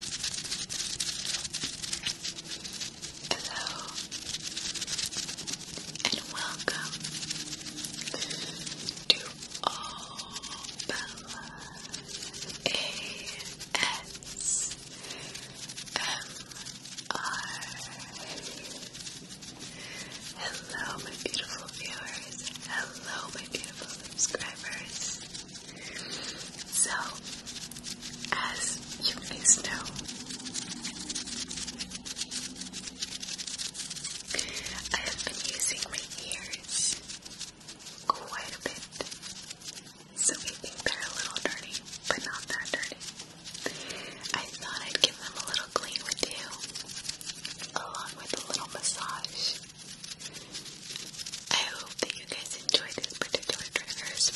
Hello and welcome to All Hello, my beautiful viewers. Hello, my beautiful subscribers. So, as you guys know, I have been using my ears quite a bit. So I think they're a little dirty, but not that dirty. I thought I'd give them a little clean with you, along with a little massage. I hope that you guys enjoy these particular triggers,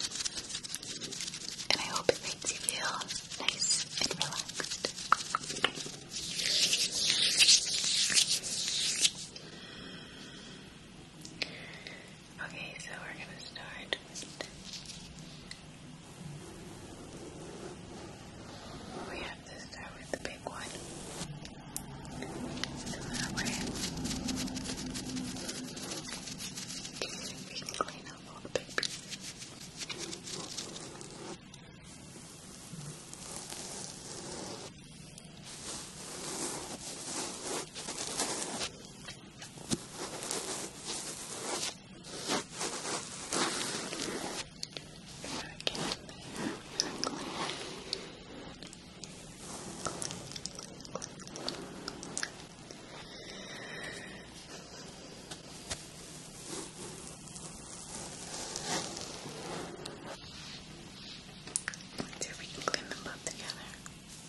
and I hope it makes you feel nice and relaxed. Okay, so we're gonna start We have to start with the big one. So that way we can clean up all the big pieces. Back in there, we are going Let's see if we can clean them both together. Okay.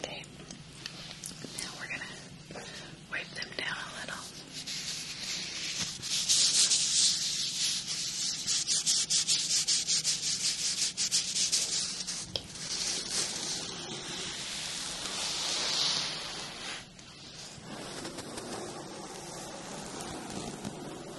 Okay. Now we're going to wipe them down a little. This is relaxing.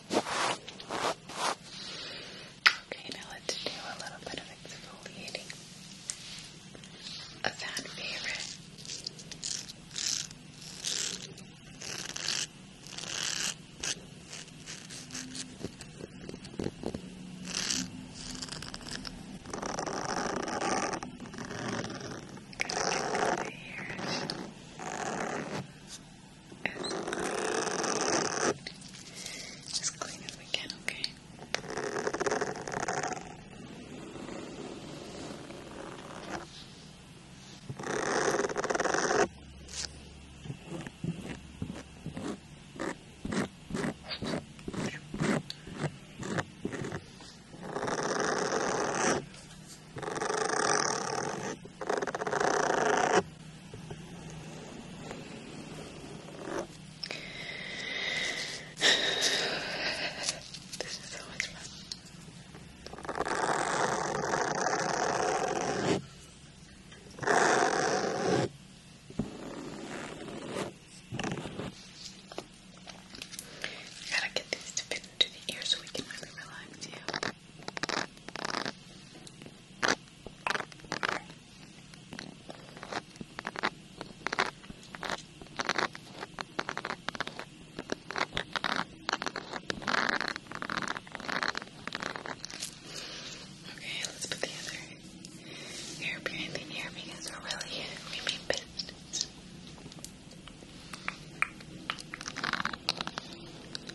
Okay, now let's do a little bit of exfoliating. A fan favorite. Good. Good. Good. As clean as we can, okay? This is so much fun. I gotta get these to fit into the ear so we can really relax you. Okay, let's put the other ear behind the ear because we're really we mean business.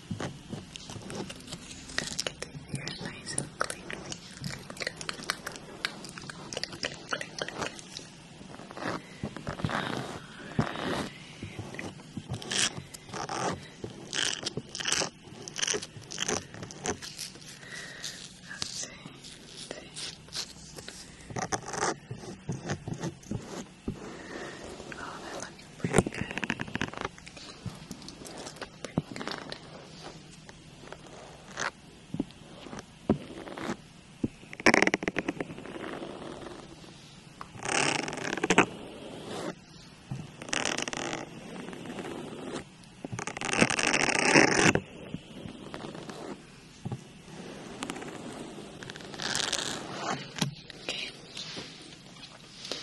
Gotta get the hair nice and clean. Oh, that looking pretty good pretty good. Okay.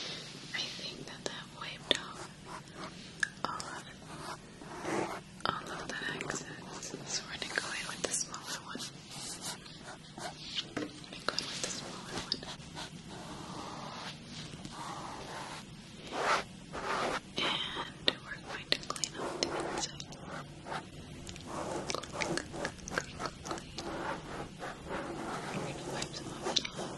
I think that that wiped off all of, the X's. So we're going to go in with the smaller one. We're going with the smaller one. And we're going to clean up the inside. I'm going to wipe them off and all.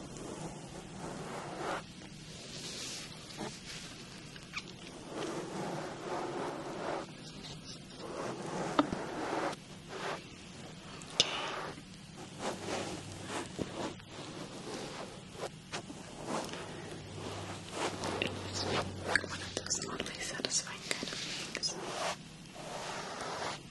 Okay. It's one of those oddly satisfying kind of things.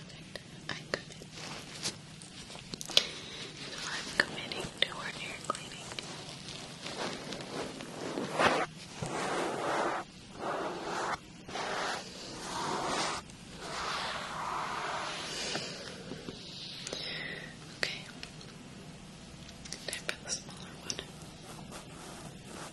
I commit. So I'm committing to our ordinary cleaning. Okay. Time for the smaller one.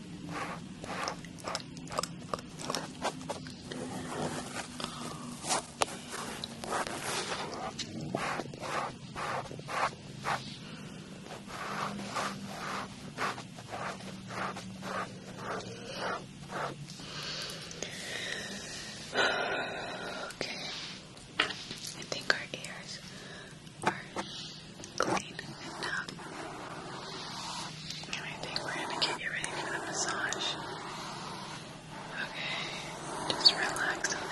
Okay. I think our ears are clean enough. And I think we're gonna get you ready for the massage. Okay, just relax, Okay,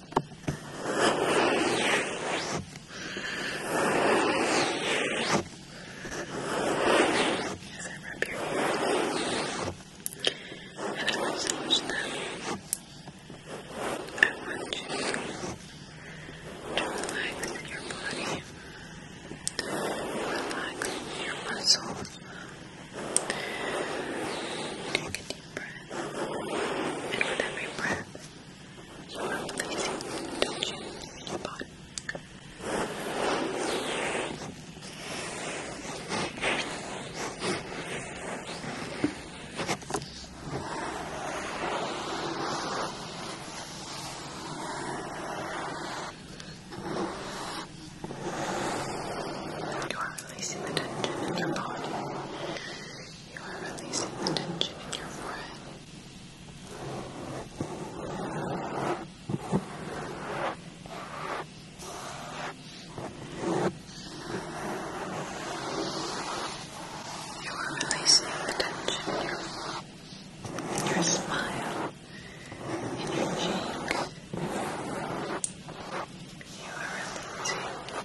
As I rub your hair. And I want so much love. I want you to relax in your body. Relax in your muscles. Take a deep And with every breath, you are releasing tension in your body. You are are releasing the tension in your body. You are releasing the tension in your forehead. You are releasing the tension in your, in your smile, in your cheek. You are releasing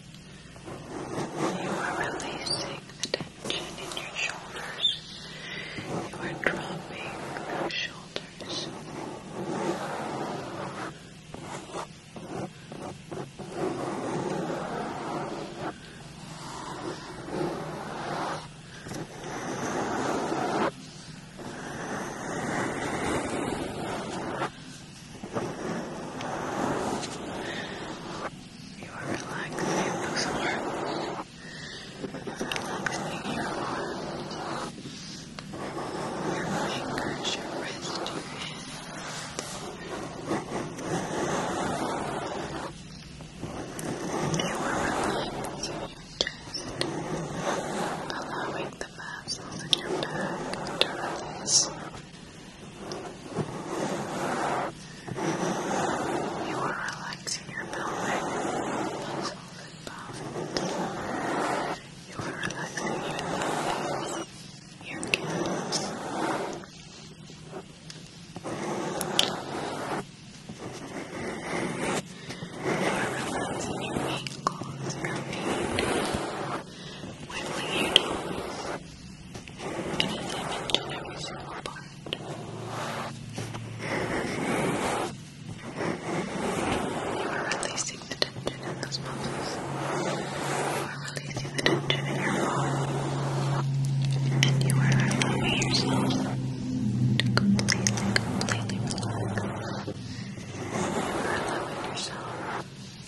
You are releasing the tension in your shoulders. You are dropping your shoulders. You are relaxing those arms. Relaxing your arms. Your fingers, your wrist, your hand. You are relaxing your chest. Allowing the muscles in your back to release. You are relaxing your pelvic bone. You are relaxing your legs, your gills. You are relaxing your ankles, your feet. What will you do anything into every single part? You are releasing the tension in those muscles. You are releasing the tension in your arm. And you are allowing yourself to completely, completely relax. You are allowing yourself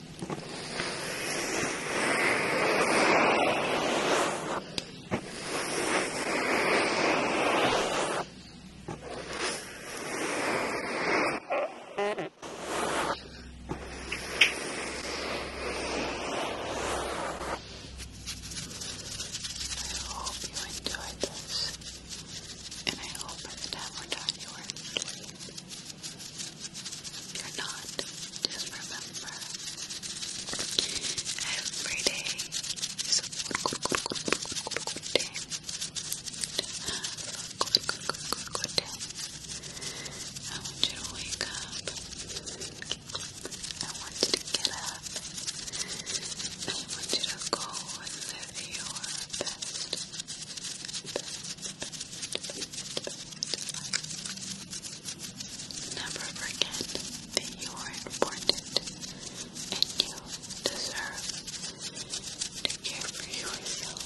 hope you enjoyed this, and I hope by the time we're done, you are asleep. You're not. Just remember, every day I want you to wake up. I want you to get up. I want you to go and live your Best, Never forget that you are important and you deserve to care for yourself.